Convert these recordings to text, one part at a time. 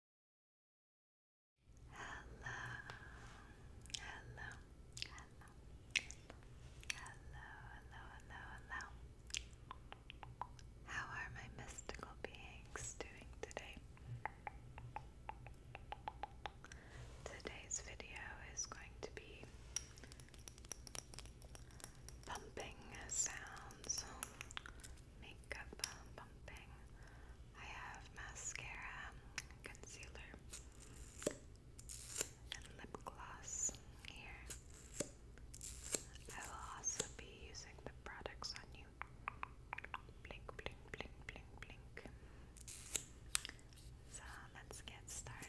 Hello, hello, hello, hello, hello, hello, hello. How are my mystical beings doing today? Today's video is going to be pumping sounds makeup um, I have mascara, concealer, and lip gloss here. I will also be using the products on you. Blink, blink, blink, blink, blink. So let's get started.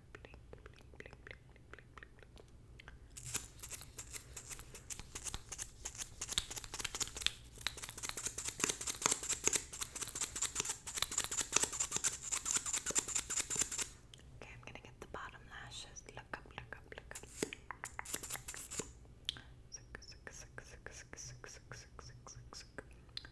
blink, blink, blink, blink, blink, blink, blink. Okay, I'm gonna get the bottom lashes. Look up, look up, look up. Six, six, six, six, six, six, six, six, six, six.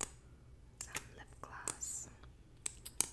some lip gloss. Okay.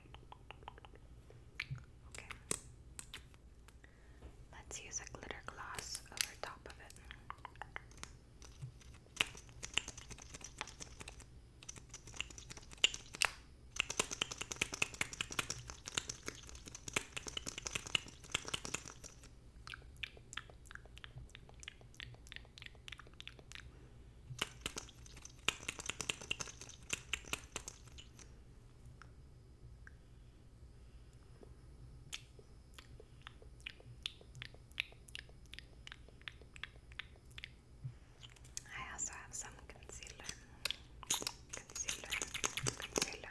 Let's use a glitter gloss over top of it. I also have some concealer. Concealer. Concealer.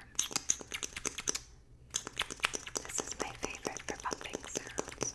This is my favorite for bumping sounds.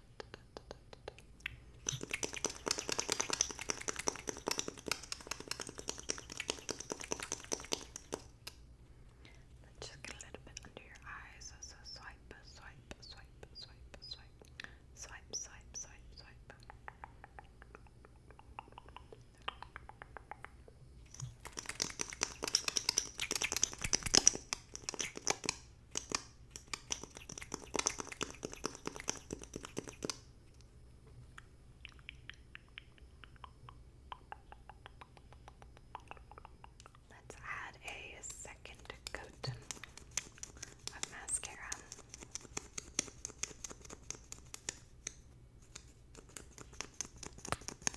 Let's just get a little bit under your eyes. So swipe, swipe, swipe, swipe, swipe, swipe, swipe, swipe, swipe. Good. Let's add a second coat of mascara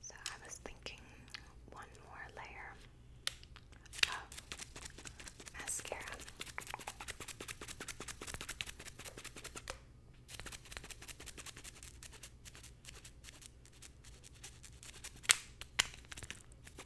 So I was thinking one more layer of mascara.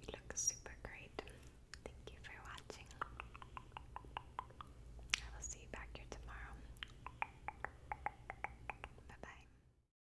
You look super great. Thank you for watching. I will see you back here tomorrow. Bye bye.